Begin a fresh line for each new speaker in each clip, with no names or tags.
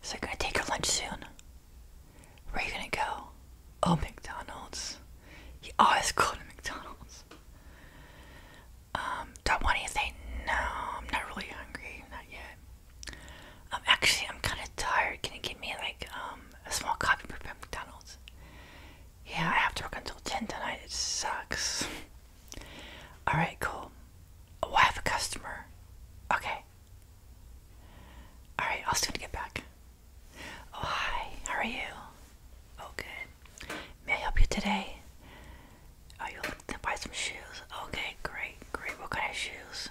So you're gonna take your lunch soon? Where are you gonna go? Oh, McDonald's. You always go to McDonald's. Um, do I want anything? No, I'm not really hungry, not yet. Um, actually, I'm kind of tired. Can you get me like um a small coffee brew at McDonald's? Yeah, I have to work until ten tonight. It sucks. All right, cool. Oh, I have a customer. Okay. All right, I'll soon get back. Oh, hi. How are you? Oh, good. May I help you today? Are oh, you looking to buy some shoes? Okay, great, great. What kind of shoes?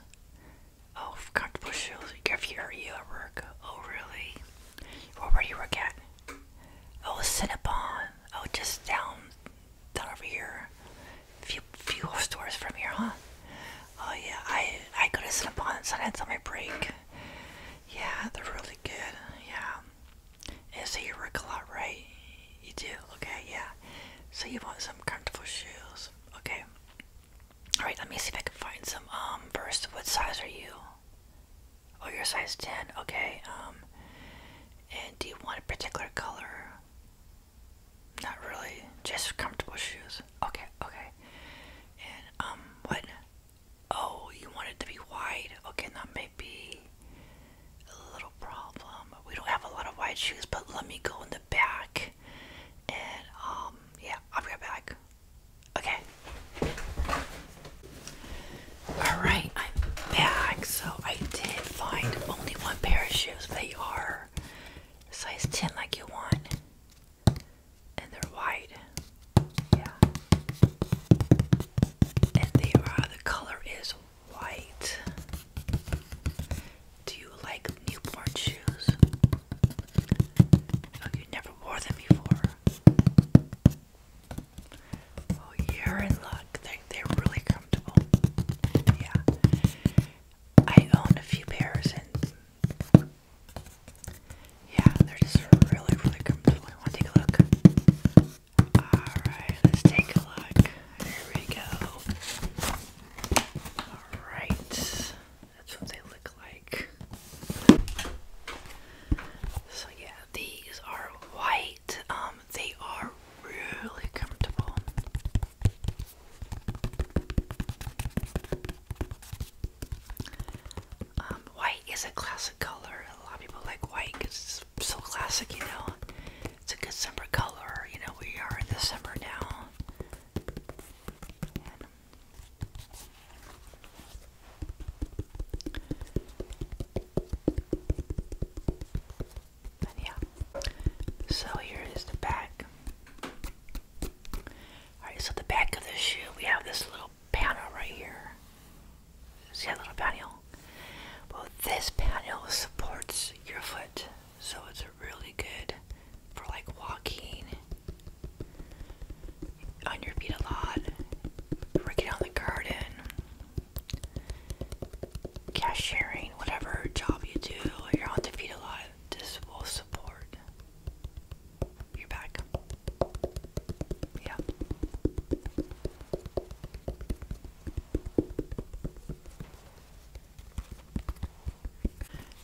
Oh, comfortable shoes. If are you at work. Oh, really? Well, where work at? Oh, Cinnabon. Oh, just down that over here. Few few stores from here, huh? Oh yeah, I I go to Cinnabon sometimes on my break. Yeah, they're really good. Yeah. is he work a lot, right? You do. Okay, yeah. So you want some comfortable shoes. Okay. All right. Let me see if I can find some. Um, first, what size are you? Oh, you're size ten. Okay. Um, and do you want a particular color? Not really. Just comfortable shoes. Okay, okay. And um what? Oh, you wanted to be wide. Okay, that may be a little problem. We don't have a lot of wide shoes, but let me go in the back. And um yeah, I'll be right back. Okay. Alright, I'm back. So I did find only one pair of shoes. They are size 10 like you want. And they're white. Yeah. And they are the color is white. Do you like newborn shoes? Oh, you never wore them before. Oh, you're in luck. They're, really comfortable. Yeah. I own a few pairs and yeah, they're just really, really comfortable. I want to take a look. Alright, let's take a look. Here we go. Alright. That's what they look like. So yeah, these are white. Um, they are really comfortable. Um, white is a classic color. A lot of people like white because it's so classic, you know. It's a good summer color. You know, we are in the summer now. And yeah. So here is the back. Alright, so the back of the shoe, we have this little panel right here. See that little panel? Well, this panel supports your foot, so it's really good for like walking on your feet a lot, working on the garden, cashiering, whatever job you do, you're on the feet a lot. This will support your back. Yeah.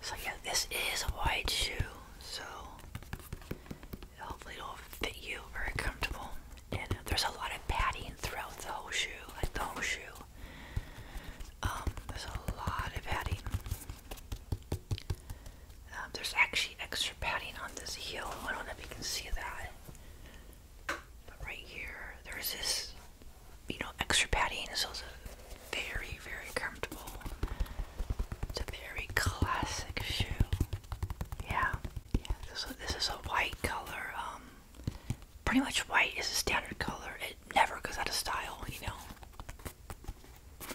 So yeah, this is a wide shoe, so hopefully it'll fit you very comfortable. And there's a lot of padding throughout the whole shoe, like the whole shoe. Um, there's a lot of padding. Um, there's actually extra padding on this heel. I don't know if you can see that. But right here, there's this, you know, extra padding. So very, very comfortable. It's a very classic shoe. Yeah, yeah. This is, this is a white color. Um, pretty much white is a standard color. It never goes out of style, you know.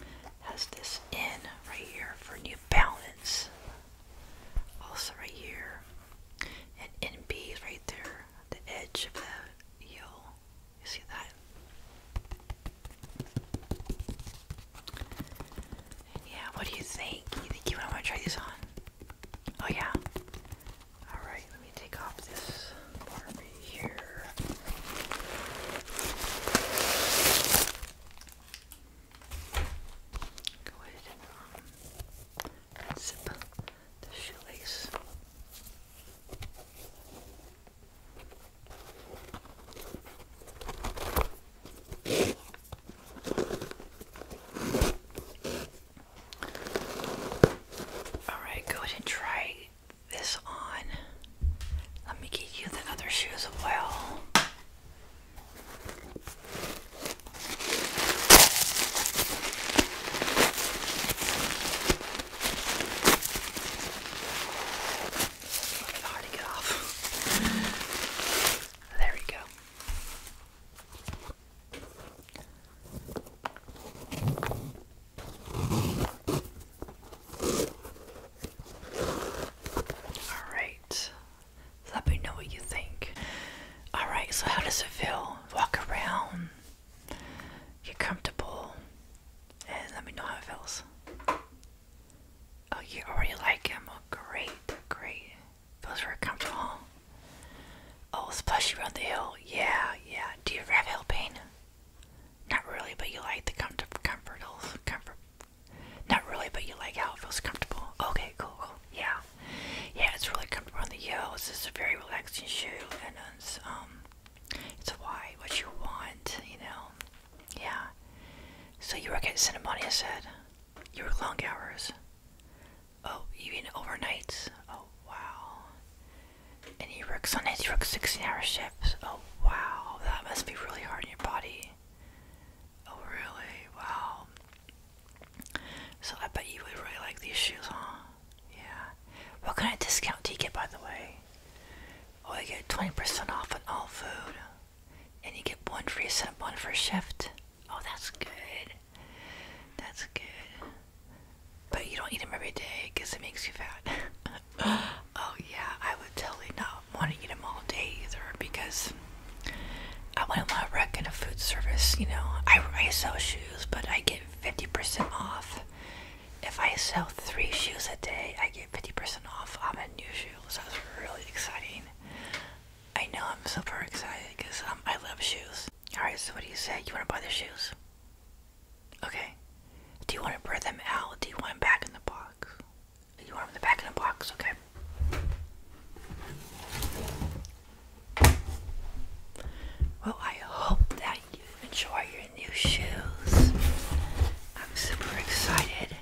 Has this in right here for New Balance. Also right here, and NB right there, the edge of the heel. You see that? yeah, what do you think? You think you want to try these on? Oh yeah. All right, let me take off this Barbie here. Go ahead and um, the shoelace. Alright, go ahead and try this on. Let me get you the other shoes as well. Fucking hard get off. There we go. Alright. Let me know what you think. Alright, so how does it feel? Walk around, you're comfortable and let me know how it feels. Oh, you already like him. Oh, great, great. Feels very comfortable. Oh, it's plushy around the heel. Yeah, yeah. Do you have heel pain? Not really, but you like the comfort, Comfortable. Not really, but you like how it feels comfortable. Okay, cool, cool. Yeah, yeah. It's really comfortable on the heel. It's just a very relaxing shoe, um, it's why what you want, you know. Yeah. So you work at Cinnabon, you said. You work long hours. Oh, even mean overnights? Oh wow. And you work Sundays. You work sixteen-hour shifts. Oh wow, that must be really hard on your body. Oh really? Wow. So I bet you would really like these shoes, huh? Yeah. What kind of discount do you get, by the way? Oh, you get 20% off on all food. And you get one free set, one for shift. Oh, that's good. That's good. But you don't eat them every day because it makes you fat. oh, yeah, I would totally not want to eat them all day either because I want to work in a food service, you know. I, I sell shoes, but I get 50% off. If I sell three shoes a day, I get 50% off on my new shoes. That's really exciting. I know I'm super excited because um, I love shoes. Alright, so what do you say? You want to buy the shoes? Okay. Do you want to bring them out? Do you want them back in the box? You want them back in the box, okay. Well, I hope that you enjoy your new shoes. I'm super excited.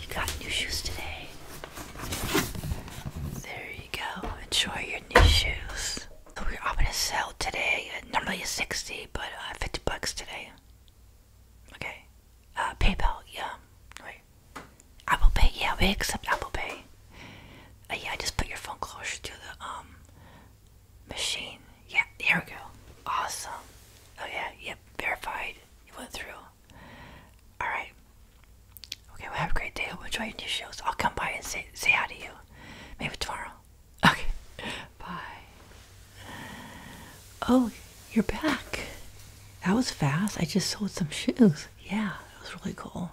You got new shoes today. There you go. Enjoy your new shoes. we're, I'm gonna sell today. Uh, normally it's 60, but uh, 50 bucks today. Okay. Uh, PayPal, yeah. Apple Pay, yeah, we accept Apple Pay. Uh, yeah, just put your phone closer to the um machine. Yeah, here we go. Awesome. Oh yeah, yep, verified. You went through. Alright. Okay, we have a great day. We'll enjoy your new shows. I'll come by and say say hi to you. Maybe tomorrow. Okay. Bye. Oh you're back. That was fast. I just sold some shoes. Yeah, that was really cool.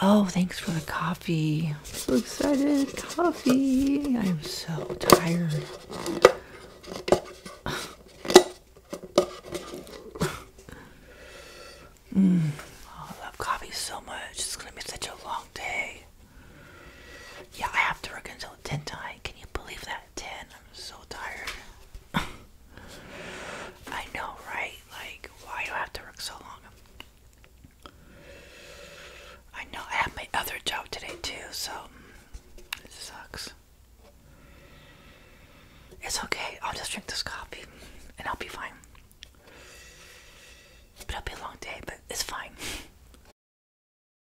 Oh, thanks for the coffee. so excited. Coffee. I'm so tired. Mm. Oh, I love coffee so much. It's going to be such a long day. Yeah, I have to work until 10 tonight. Can you believe that? 10. I'm so tired. I know, right? Like, why do I have to work so long? I know I have my other job today too, so mm, it sucks. It's okay. I'll just drink this coffee and I'll be fine. But it'll be a long day, but it's fine.